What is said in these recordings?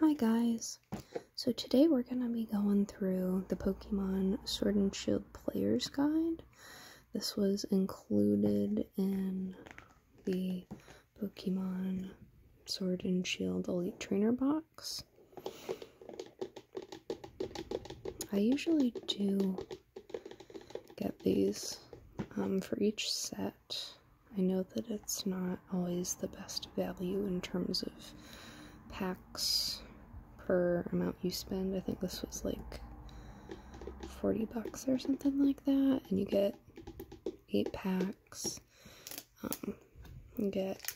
Hi guys! So today we're going to be going through the Pokemon Sword and Shield Player's Guide. This was included in the Pokemon Sword and Shield Elite Trainer box. I usually do get these um, for each set. I know that it's not always the best value in terms of packs per amount you spend. I think this was like 40 bucks or something like that, and you get eight packs. Um, you get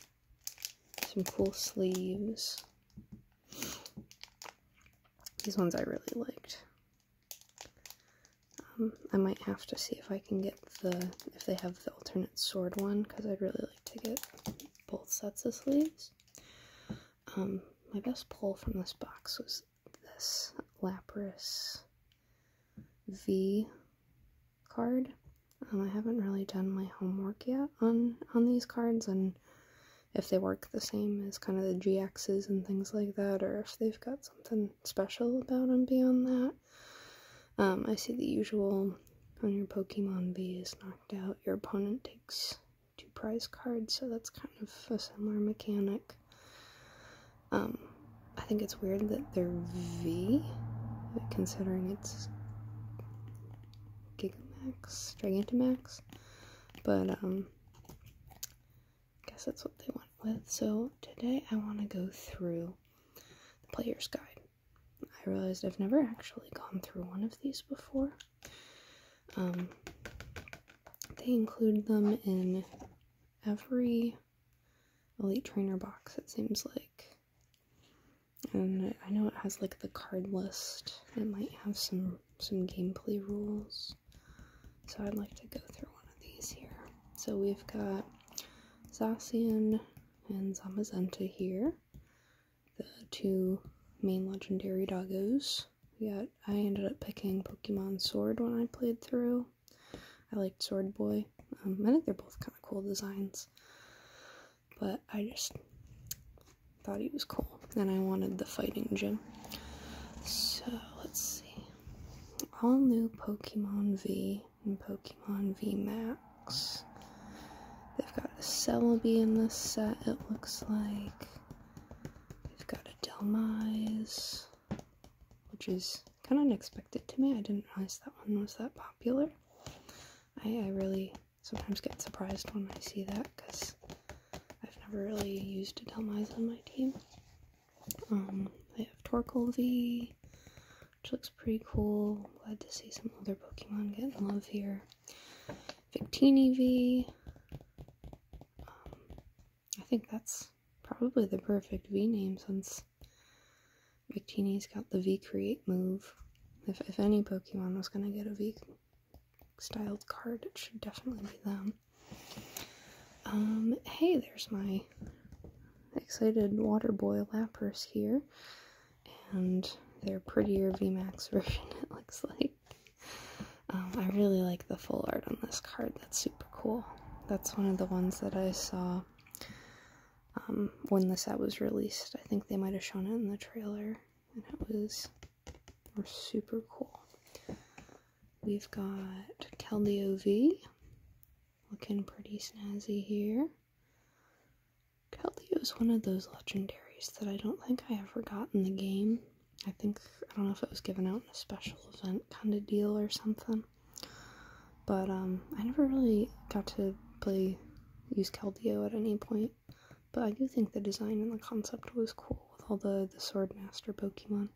some cool sleeves. These ones I really liked. Um, I might have to see if I can get the, if they have the alternate sword one, because I'd really like to get both sets of sleeves. Um, my best pull from this box was this Lapras V card. Um, I haven't really done my homework yet on, on these cards, and if they work the same as kind of the GXs and things like that, or if they've got something special about them beyond that. Um, I see the usual when your Pokemon V is knocked out, your opponent takes two prize cards, so that's kind of a similar mechanic. Um, I think it's weird that they're V, considering it's Gigamax, Gigantamax, but um, I guess that's what they went with. So today I want to go through the player's guide. I realized I've never actually gone through one of these before. Um, they include them in every Elite Trainer box, it seems like. And I know it has like the card list. It might have some some gameplay rules. So I'd like to go through one of these here. So we've got Zacian and Zamazenta here, the two main legendary doggos. Yeah, I ended up picking Pokemon Sword when I played through. I liked Sword Boy. Um, I think they're both kind of cool designs, but I just thought he was cool, and I wanted the fighting gym. So let's see. All new Pokemon V in Pokemon V Max. They've got a Celebi in this set, it looks like. They've got a Delmise, which is kind of unexpected to me. I didn't realize that one was that popular. I, really sometimes get surprised when I see that because I've never really used a Delmise on my team. Um, they have Torkoal V, which looks pretty cool. Glad to see some other Pokemon getting love here. Victini V. Um, I think that's probably the perfect V name since Victini's got the V create move. If, if any Pokemon was going to get a V styled card, it should definitely be them. Um, hey, there's my excited water boy lappers here, and their prettier VMAX version, it looks like. Um, I really like the full art on this card, that's super cool. That's one of the ones that I saw um, when the set was released. I think they might have shown it in the trailer, and it was super cool. We've got Keldeo V, Looking pretty snazzy here. Kelly is one of those legendaries that I don't think I ever got in the game. I think, I don't know if it was given out in a special event kind of deal or something. But um, I never really got to play, use Keldeo at any point. But I do think the design and the concept was cool with all the, the Sword Master Pokemon.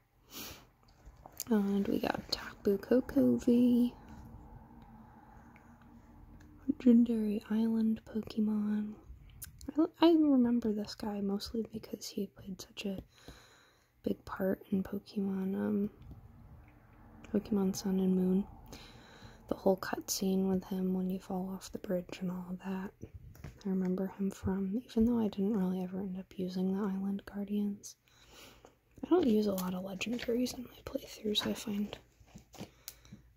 And we got Tapu Koko Kokovi. Legendary Island Pokemon. I, remember this guy mostly because he played such a big part in Pokemon, um, Pokemon Sun and Moon. The whole cutscene with him when you fall off the bridge and all of that. I remember him from, even though I didn't really ever end up using the Island Guardians. I don't use a lot of legendaries in my playthroughs, I find.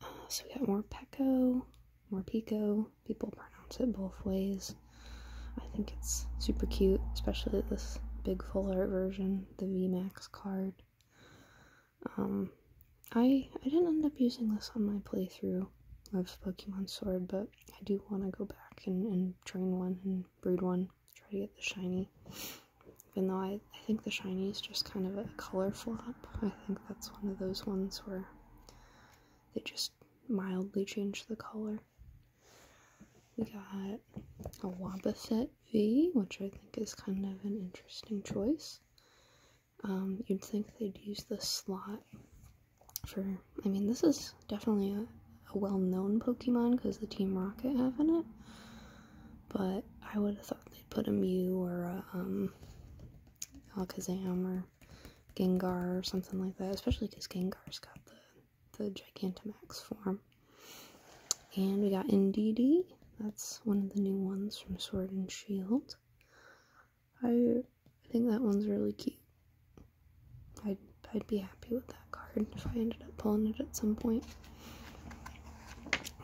Uh, so we got more Peko, more Pico. People pronounce it both ways. I think it's super cute, especially this big full art version, the VMAX card. Um, I, I didn't end up using this on my playthrough of Pokemon Sword, but I do want to go back and train one and breed one try to get the shiny. Even though I, I think the shiny is just kind of a color flop. I think that's one of those ones where they just mildly change the color. We got a Wobbuffet V, which I think is kind of an interesting choice. Um, you'd think they'd use the slot for, I mean, this is definitely a, a well-known Pokemon because the Team Rocket have in it. But I would have thought they'd put a Mew or a um, Alakazam or Gengar or something like that, especially because Gengar's got the, the Gigantamax form. And we got Indeedee. That's one of the new ones from Sword and Shield. I I think that one's really cute. I I'd be happy with that card if I ended up pulling it at some point.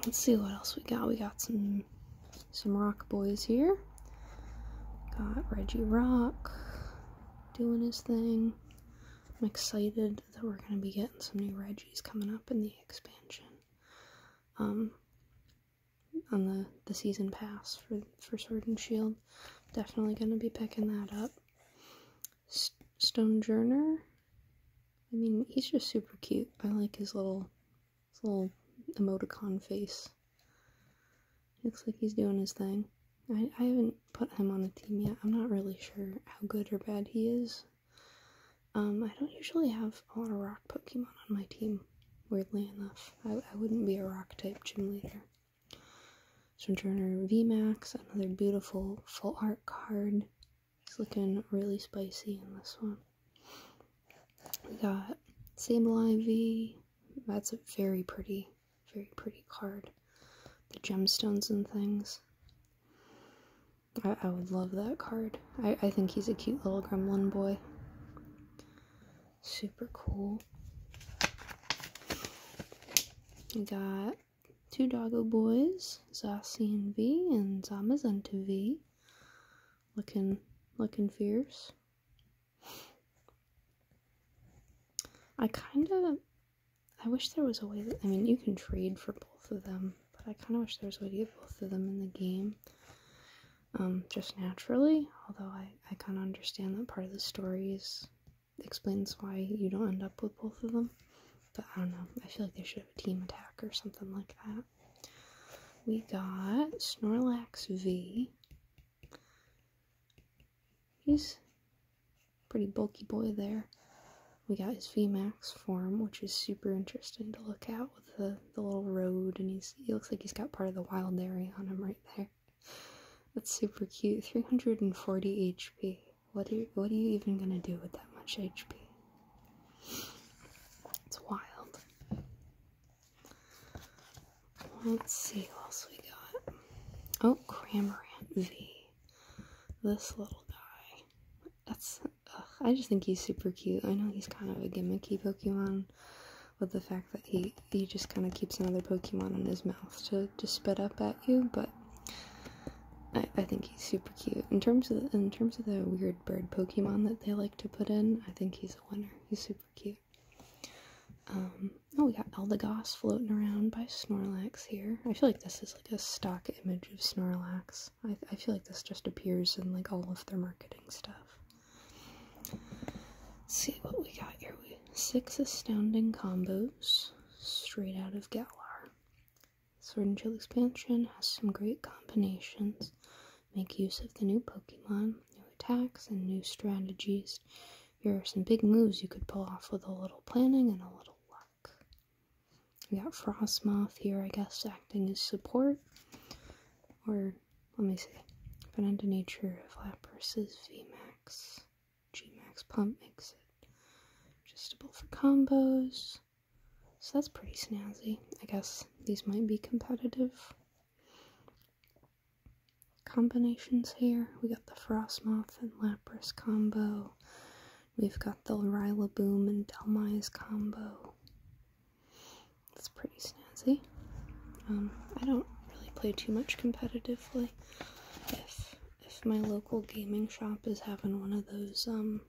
Let's see what else we got. We got some some rock boys here. Got Reggie Rock doing his thing. I'm excited that we're gonna be getting some new Reggies coming up in the expansion. Um on the, the season pass for for Sword and Shield. Definitely gonna be picking that up. Stonejourner. I mean, he's just super cute. I like his little, little emoticon face. Looks like he's doing his thing. I, I haven't put him on a team yet. I'm not really sure how good or bad he is. Um, I don't usually have a lot of rock Pokemon on my team, weirdly enough. I, I wouldn't be a rock type gym leader. Sojourner VMAX, another beautiful full art card. It's looking really spicy in this one. We got Sable Ivy. That's a very pretty, very pretty card. The gemstones and things. I, I would love that card. I, I think he's a cute little gremlin boy. Super cool. We got two doggo boys, Zossi and V, and Zamazunta V. Looking, looking fierce. I kind of, I wish there was a way that, I mean, you can trade for both of them, but I kind of wish there was a way to get both of them in the game. Um, just naturally, although I, I kind of understand that part of the story is explains why you don't end up with both of them. But I don't know. I feel like they should have a team attack or something like that. We got Snorlax V. He's pretty bulky boy there. We got his VMAX form, which is super interesting to look at with the, the little road, and he's he looks like he's got part of the wild area on him right there. That's super cute. 340 HP. What are you, what are you even gonna do with that much HP? It's wild. Let's see what else we got. Oh, Cramorant V. This little guy. That's. I just think he's super cute. I know he's kind of a gimmicky Pokemon, with the fact that he he just kind of keeps another Pokemon in his mouth to to spit up at you, but I, think he's super cute. In terms of the, in terms of the weird bird Pokemon that they like to put in, I think he's a winner. He's super cute. Um, oh, we got Eldegoss floating around by Snorlax here. I feel like this is like a stock image of Snorlax. I, feel like this just appears in like all of their marketing stuff. see what we got here. six astounding combos straight out of Galar. Sword and Shield expansion has some great combinations. Make use of the new Pokemon, new attacks, and new strategies. Here are some big moves you could pull off with a little planning and a little luck. We got Frostmoth here, I guess, acting as support. Or, let me see. But into nature of vs VMAX. G-Max Pump makes it adjustable for combos. So that's pretty snazzy. I guess these might be competitive combinations here. We got the Frostmoth and Lapras combo. We've got the Rillaboom and Delmise combo. That's pretty snazzy. Um, I don't really play too much competitively if my local gaming shop is having one of those, um,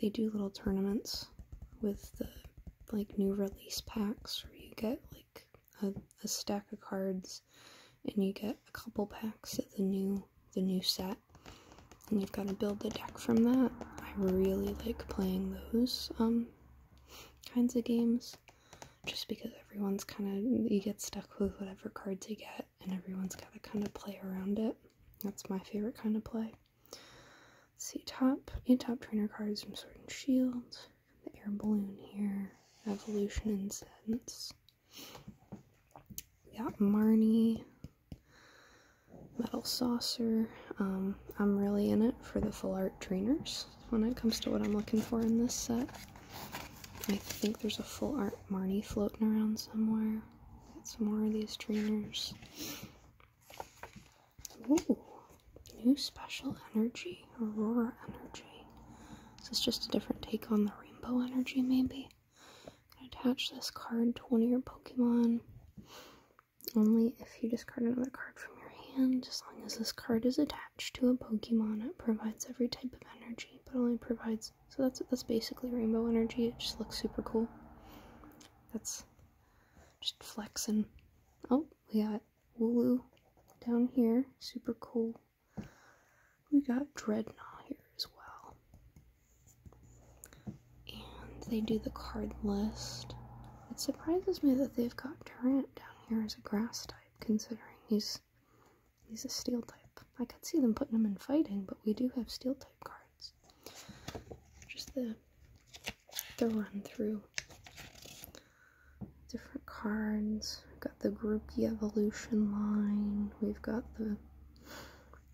they do little tournaments with the like new release packs where you get like a, stack of cards and you get a couple packs of the new the new set and you've got to build the deck from that. I really like playing those um, kinds of games just because everyone's kind of you get stuck with whatever cards you get and everyone's got to kind of play around it. That's my favorite kind of play. see, top, eight top trainer cards from Sword and Shield, the air balloon here, evolution incense. We got Marnie, metal saucer. Um, I'm really in it for the full art trainers when it comes to what I'm looking for in this set. I think there's a full art Marnie floating around somewhere. Got some more of these trainers. Ooh, new special energy, Aurora energy. This is just a different take on the rainbow energy, maybe. attach this card to one of your Pokemon. Only if you discard another card from your hand, as long as this card is attached to a Pokemon, it provides every type of energy, but only provides so that's that's basically rainbow energy. It just looks super cool. That's just flexing. Oh, we got Wooloo down here, super cool. We got Dreadnought here as well. And they do the card list. It surprises me that they've got Durant down here as a grass type, considering he's He's a steel type. I could see them putting him in fighting, but we do have steel type cards. Just the the run through different cards. We've got the Grookey Evolution line. We've got the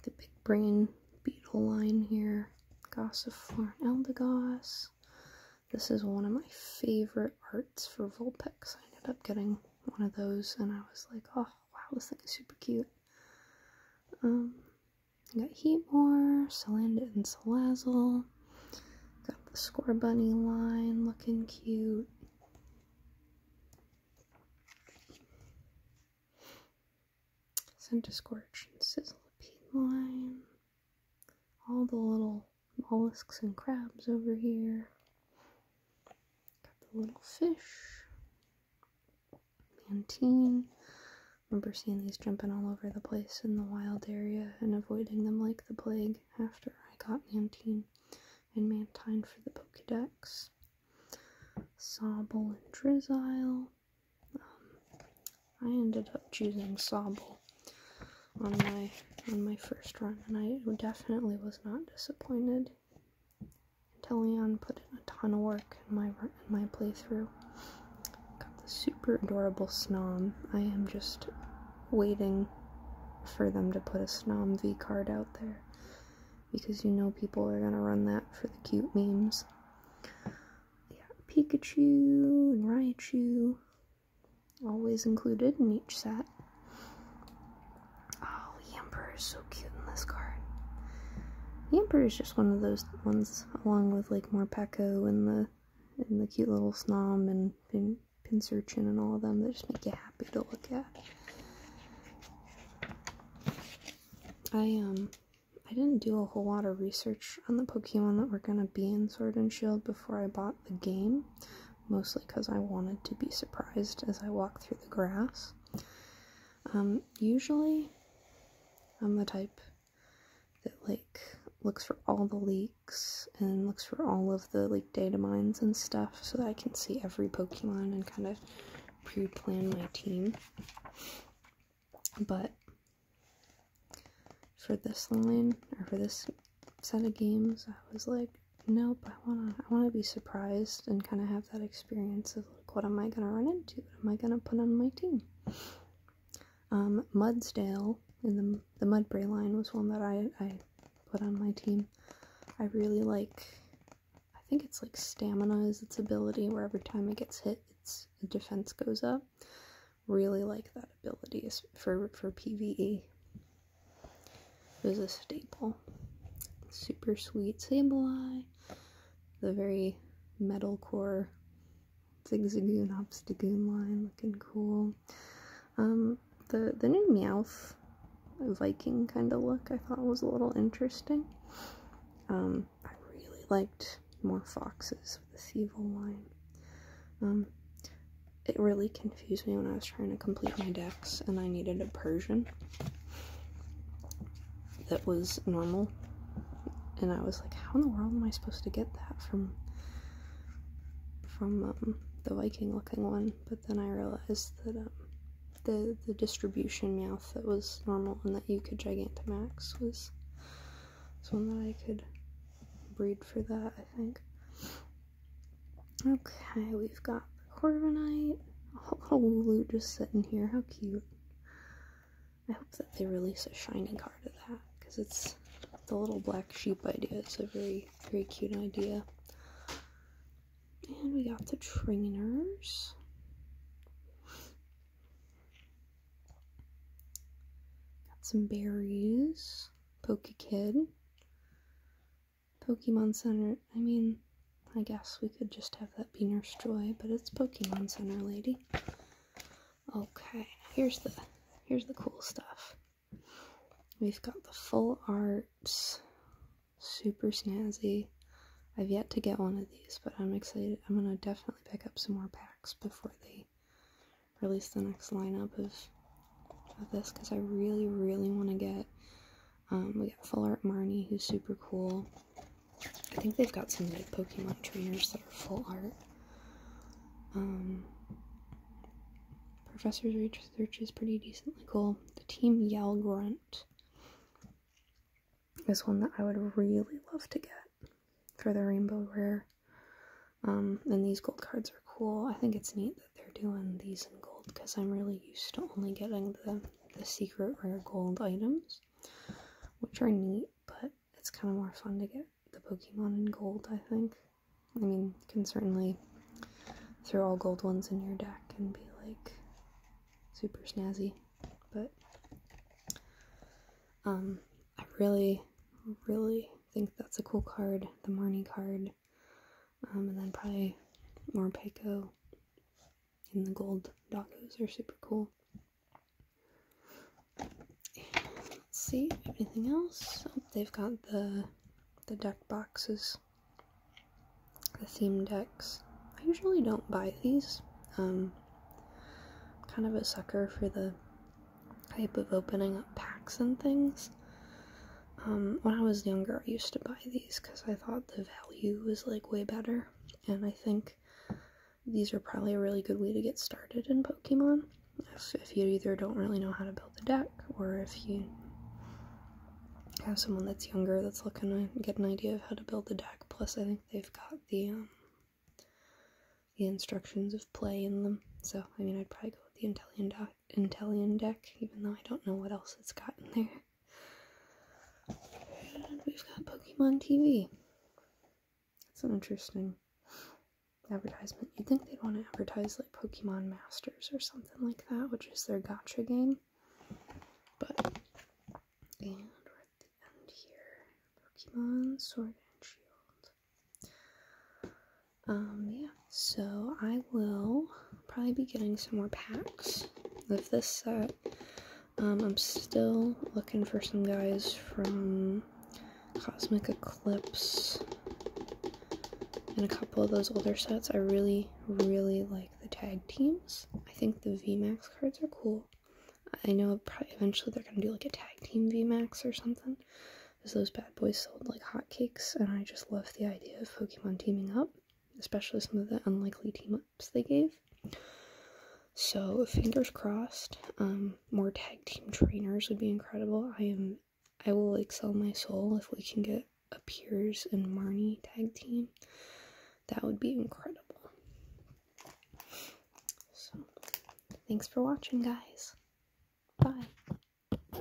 the Big Brain Beetle line here. Gossiform Eldegoss. This is one of my favorite arts for Vulpix. I ended up getting one of those, and I was like, oh wow, this thing is super cute. Um, got Heatmore, Salandit, and Salazzle. Got the Score Bunny line looking cute. Santa Scorch and Sizzlipede line. All the little mollusks and crabs over here. Got the little fish. Mantine. Remember seeing these jumping all over the place in the wild area and avoiding them like the plague after I got Mantine and Mantine for the Pokedex. Sobble and Drizzile. Um, I ended up choosing Sobble on my on my first run and I definitely was not disappointed played. Inteleon put in a ton of work in my in my playthrough. Got the super adorable Snom. I am just waiting for them to put a Snom V card out there because you know people are gonna run that for the cute memes. Yeah, Pikachu and Raichu always included in each set. Oh, the Emperor is so cute in this card. The Emperor is just one of those ones, along with like Morpeko and the and the cute little Snom and Pin Pincerchin and all of them that just make you happy to look at. I um I didn't do a whole lot of research on the Pokemon that were gonna be in Sword and Shield before I bought the game, mostly because I wanted to be surprised as I walk through the grass. Um, usually, I'm the type that like looks for all the leaks and looks for all of the like data mines and stuff so that I can see every Pokemon and kind of pre-plan my team. But for this line or for this set of games, I was like, nope, I wanna I wanna be surprised and kinda have that experience of like what am I gonna run into? What am I gonna put on my team? Um Mudsdale in the the Mudbray line was one that I I put on my team. I really like I think it's like stamina is its ability where every time it gets hit its defense goes up. Really like that ability for for PvE. It was a staple. Super sweet sable eye. The very metalcore Zigzagoon Obstagoon line looking cool. Um, the, the new Meowth Viking kind of look I thought was a little interesting. Um, I really liked more foxes with the Evil line. Um, it really can confused me when I was trying to complete my decks and I needed a Persian that was normal. And I was like, how in the world am I supposed to get that from from um, the Viking looking one? But then I realized that um, the the distribution mouth that was normal and that you could Gigantamax was, was one that I could breed for that, I think. Okay, we've got the Corviknight. Oh, Lulu just sitting here. How cute. I hope that they release a shining card of that because it's the little black sheep idea. It's a very, very cute idea. And we got the trainers. Got some berries. Poke Kid. Pokemon Center. I mean, I guess we could just have that be Nurse Joy, but it's Pokemon Center, lady. Okay, here's the here's the cool stuff. We've got the full arts, super snazzy. I've yet to get one of these, but I'm excited. I'm gonna definitely pick up some more packs before they release the next lineup of of this because I really, really want to get um, we got Full Art Marnie, who's super cool. I think they've got some like Pokemon trainers that are full art. Um, Professor's Research is pretty decently cool. The Team Yell Grunt is one that I would really love to get for the Rainbow Rare. Um, and these gold cards are cool. I think it's neat they're doing these in gold because I'm really used to only getting the, the secret rare gold items, which are neat, but it's kind of more fun to get the Pokemon in gold, I think. I mean, you can certainly throw all gold ones in your deck and be like super snazzy, but um, I really, really think that's a cool card, the Marnie card. Um, and then probably more Peiko and the gold docos are super cool. let's see, anything else? Oh, they've got the the deck boxes, the theme decks. I usually don't buy these. Um, kind of a sucker for the type of opening up packs and things. Um, when I was younger, I used to buy these because I thought the value was like way better, and I think these are probably a really good way to get started in Pokemon. If, you either don't really know how to build a deck, or if you have someone that's younger that's looking to get an idea of how to build a deck, plus I think they've got the um, the instructions of play in them. So I mean, I'd probably go with the Intellion deck. Intellian deck, even though I don't know what else it's got in there. we've got Pokemon TV. That's an interesting advertisement. You'd think they'd want to advertise like Pokemon Masters or something like that, which is their gotcha game. But, and we're at the end here. Pokemon Sword and Shield. Um, yeah, so I will probably be getting some more packs of this set. Um, I'm still looking for some guys from Cosmic Eclipse and a couple of those older sets. I really, really like the tag teams. I think the VMAX cards are cool. I know eventually they're gonna do like a tag team VMAX or something, because those bad boys sold like hotcakes, and I just love the idea of Pokemon teaming up especially some of the unlikely team ups they gave. So fingers crossed. Um, more tag team trainers would be incredible. I am, I will excel my soul if we can get a Piers and Marnie tag team. That would be incredible. So, thanks for watching, guys. Bye.